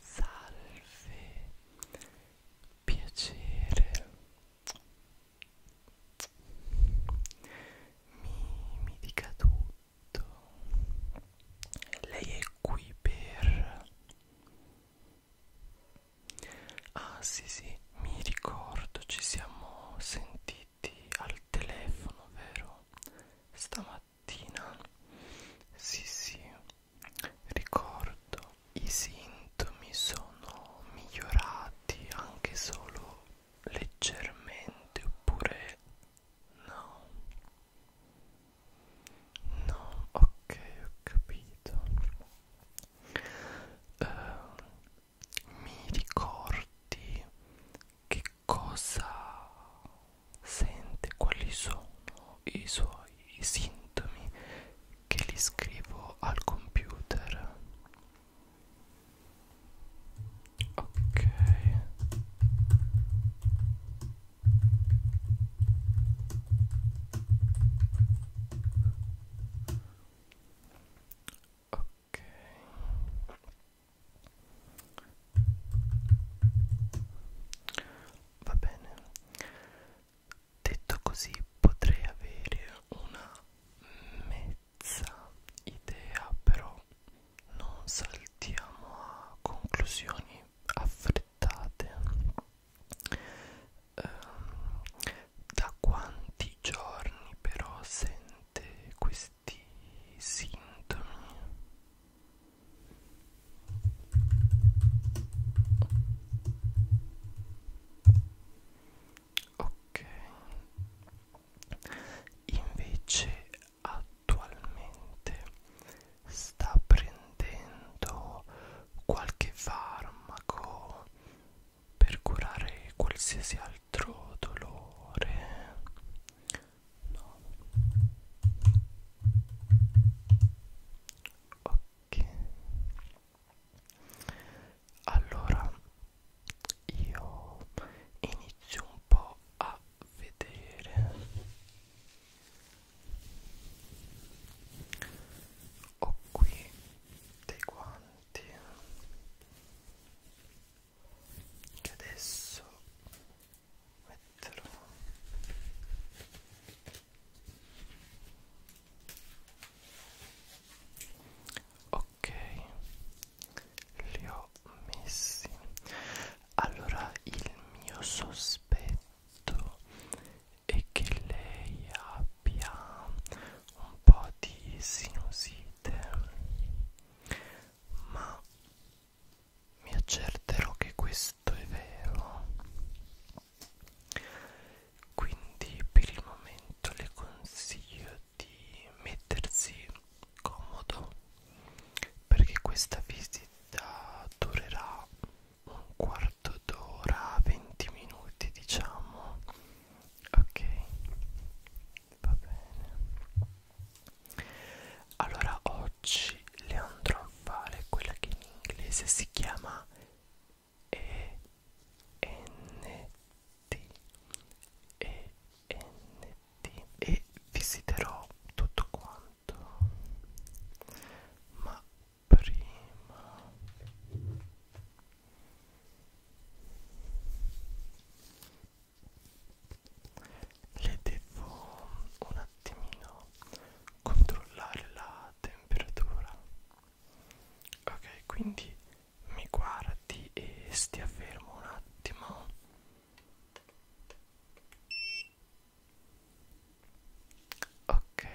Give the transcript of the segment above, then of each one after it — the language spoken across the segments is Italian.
Salve, piacere. Mi, mi dica tutto. Lei è qui per... Ah sì sì, mi ricordo, ci siamo sentiti sentiti al telefono, vero? Stamattina? Sì, sì, ricordo, i sintomi sono migliorati anche solo leggermente oppure no? No, ok, ho capito. Uh, mi ricordi che cosa sente, quali sono i suoi sintomi che li scrivo al computer. Ok ok va bene detto così potrei avere una mezza idea però non saltiamo a conclusioni affrettate ehm, da quanti giorni però sento presente questi sintomi ok invece attualmente sta prendendo qualche farmaco per curare qualsiasi altro dolore no ok allora io inizio un po' a vedere ho qui dei guanti che adesso metterò ok li ho messi allora il mio sospetto è che lei abbia un po' di sinusite ma mi accerterò che questo è vero quindi per il momento le consiglio di mettersi comodo perché questa visita durerà un quarto d'ora 20 minuti diciamo ok va bene allora oggi le andrò a fare quella che in inglese si chiama ENT ENT e visiterò tutto quanto ma prima le devo un attimino controllare la temperatura ok quindi mi guardi e stia fermo un attimo ok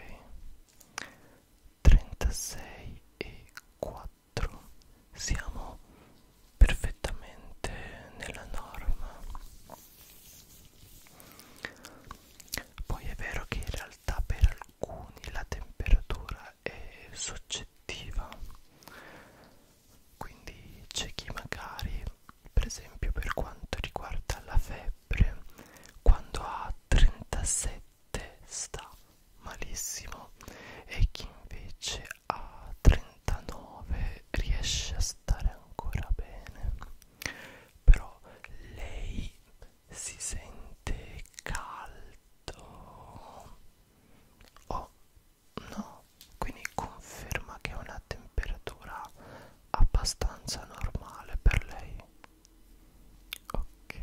36 e 4 4 siamo perfettamente nella norma poi è vero che in realtà per alcuni la temperatura è soggettiva quindi c'è chi magari per esempio per quanto riguarda la febbre quando ha 37 sta malissimo e chi invece a 39 riesce a stare ancora bene però lei si sente caldo oh no quindi conferma che è una temperatura abbastanza normale per lei ok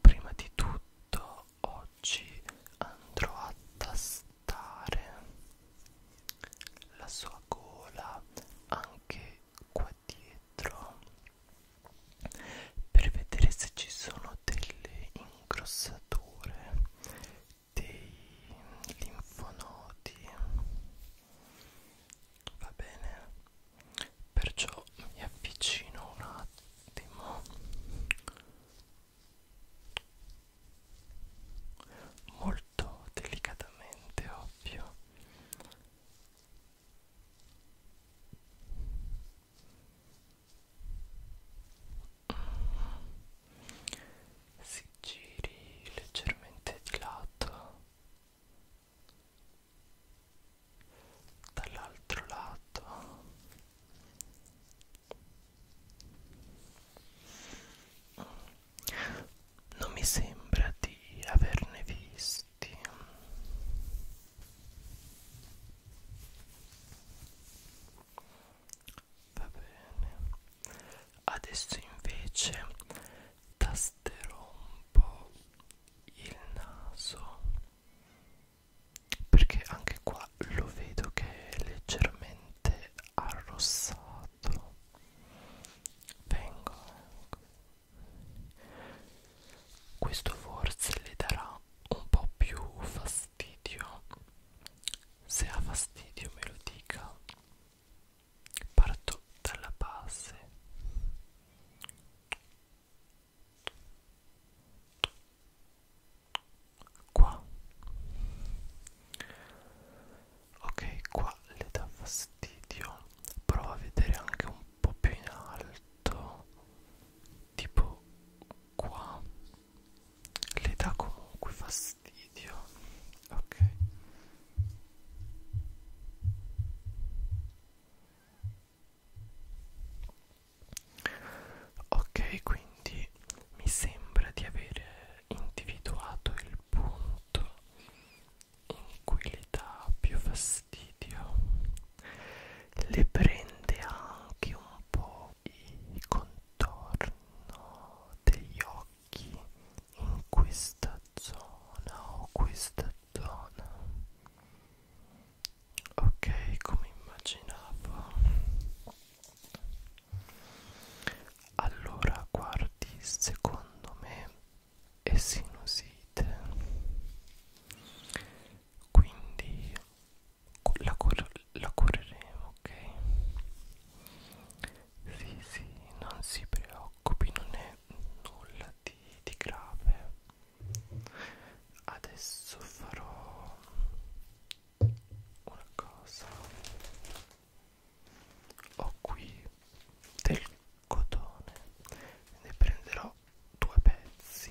Prima di tutto oggi andrò a tastare la sua gola anche qua dietro per vedere se ci sono delle incrossature dei linfonodi va bene perciò mi avvicino un attimo molto delicatamente ovvio si giri leggermente di lato dall'altro lato non mi sembra di averne visti va bene adesso invece tasterò un po' il naso perché anche qua lo vedo che è leggermente arrossato vengo ecco. questo forse le darà un po' più fastidio se ha fastidio me lo dica parto dalla base qua ok qua le dà fastidio prova a vedere anche un po più in alto tipo qua le dà comunque fastidio ok Ok, quindi mi sembra di aver individuato il punto in cui le dà più fastidio, le prende anche un po' il contorno degli occhi in questa zona o questa zona ok come immaginavo allora guardi secondo me è sinusite quindi la, cur la cureremo ok sì sì non si preoccupi non è nulla di, di grave adesso farò una cosa ho qui del cotone ne prenderò due pezzi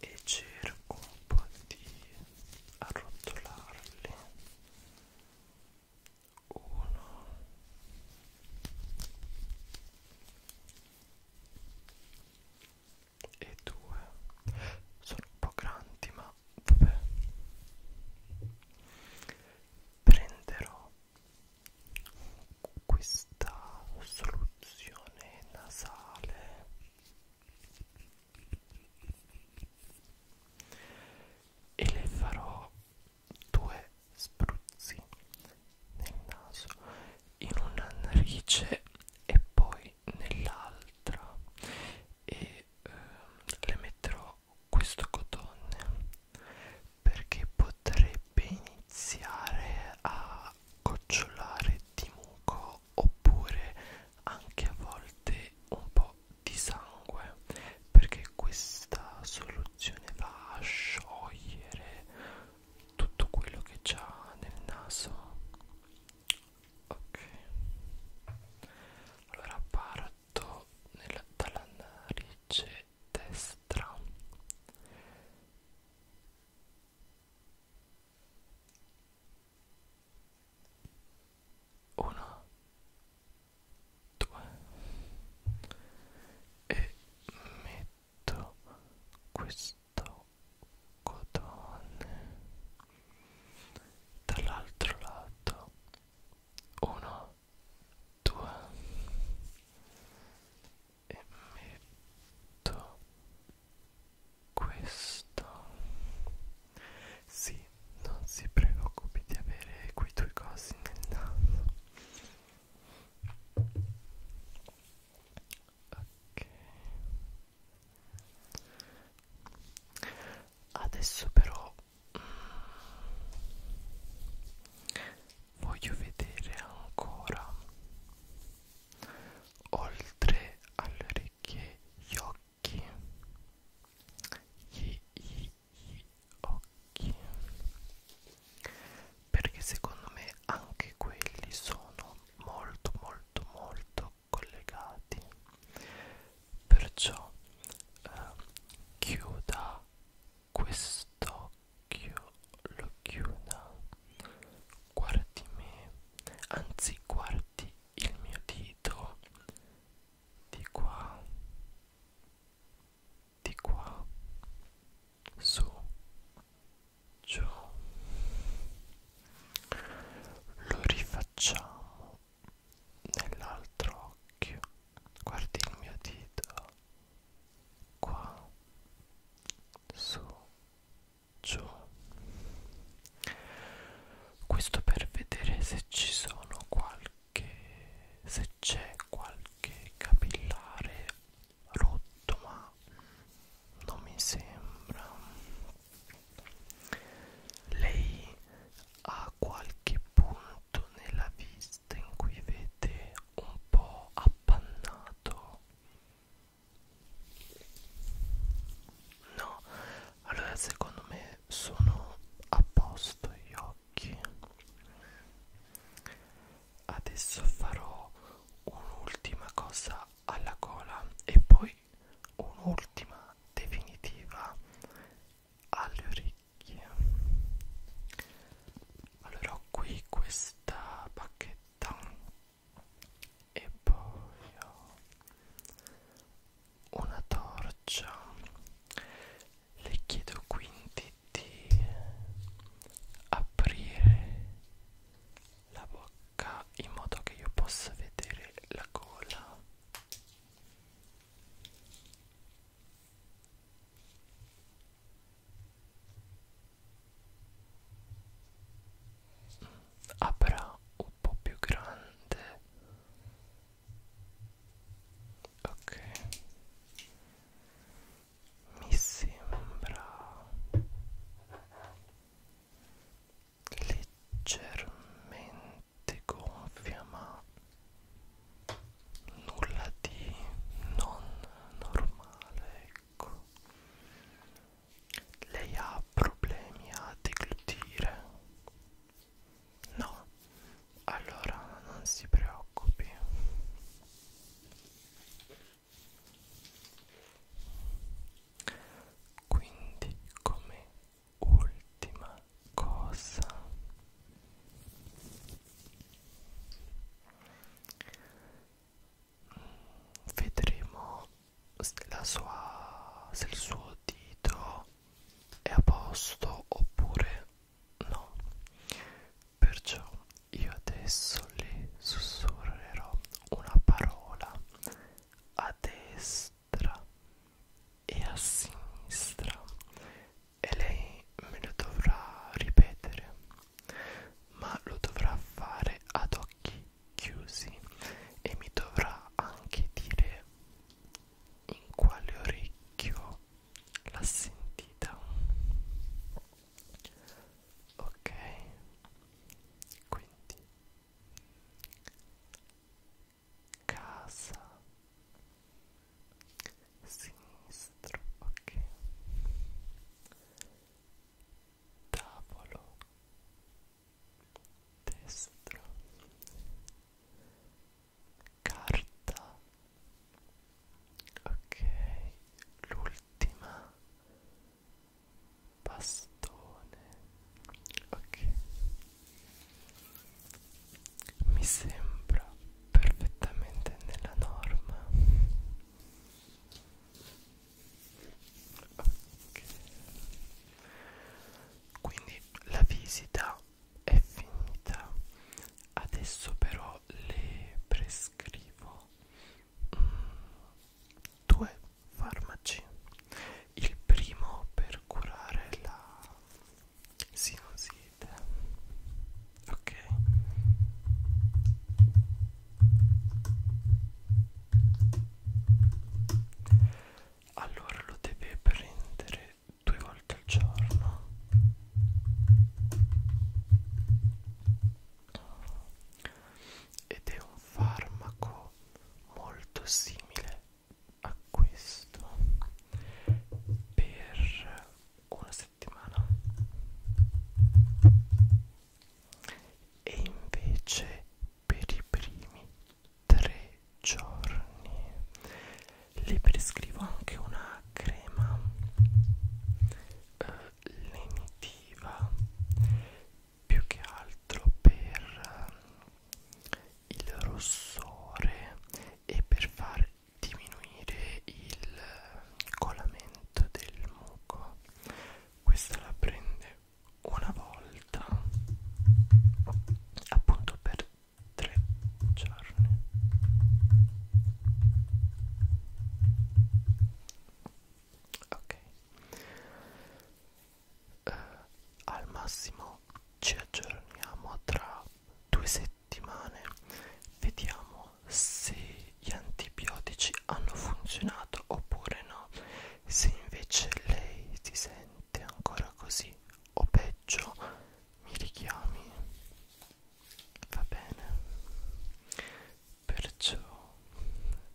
e cerco un po' di arrotolarli uno e due sono un po' grandi ma vabbè prenderò questa soluzione nasale e le farò due spruzzi nel naso in una narice e poi nell'altra e ehm, le metterò questo cotone perché potrebbe iniziare a gocciolare di muco po' oppure anche a volte un po' di sangue perché questa soluzione va a sciogliere tutto quello che c'ha nel naso ok allora parto nella, dalla narice destra uno due e metto questo cotone dall'altro lato uno due e metto questo sì non si preoccupi di avere quei tuoi cosi nel naso ok adesso però mm, voglio vedere ancora oltre alle orecchie gli occhi gli, gli, gli occhi perché secondo me anche quelli sono molto molto molto collegati perciò eh, chiuda quest'occhio lo chiuda guardi me anzi guardi il mio dito di qua di qua su giù lo rifacciamo nell'altro occhio guardi il mio dito qua su giù questo per vedere se ci sono qualche se c'è qualche capillare rotto ma non mi sembra lei ha qualche punto nella vista in cui vede un po' appannato No, allora secondo me sono a posto gli occhi. Adesso farò un'ultima cosa alla gola e poi un'ultima definitiva alle orecchie. Allora ho qui questa bacchetta e poi ho una torcia le chiedo quindi di aprire la bocca in modo che io possa vedere la gola avrà un po' più grande ok mi sembra leggermente gonfia ma nulla di non normale ecco lei ha problemi a deglutire? No, allora non si preoccupi. Quindi come ultima cosa vedremo la sua, se il suo dito è a posto oppure no perciò io adesso le sussurrerò una parola a destra e a sinistra e lei me lo dovrà ripetere ma lo dovrà fare ad occhi occhi chiusi e mi dovrà anche dire in quale orecchio l'ha sentita ok quindi casa sinistro ok tavolo destra carta ok l'ultima bastone ok mi sembra perfettamente nella norma Okay. Quindi la visita è finita. Adesso però le prescrivo mm, due farmaci. Il primo per curare la sinusite. Ok allora lo deve prendere due volte al giorno ed è un farmaco molto simile a questo per una settimana e invece per i primi tre giorni le prescrivo anche una crema eh, lenitiva più che altro per eh, il rossore e per far diminuire il colamento del muco questa la prende una volta appunto per tre giorni ok eh, al massimo ci aggiorniamo tra due settimane vediamo se gli antibiotici hanno funzionato oppure no se invece lei si sente ancora così o peggio, mi richiami. Va bene. Perciò,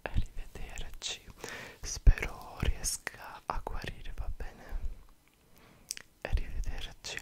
arrivederci. Spero riesca a guarire, va bene. Arrivederci.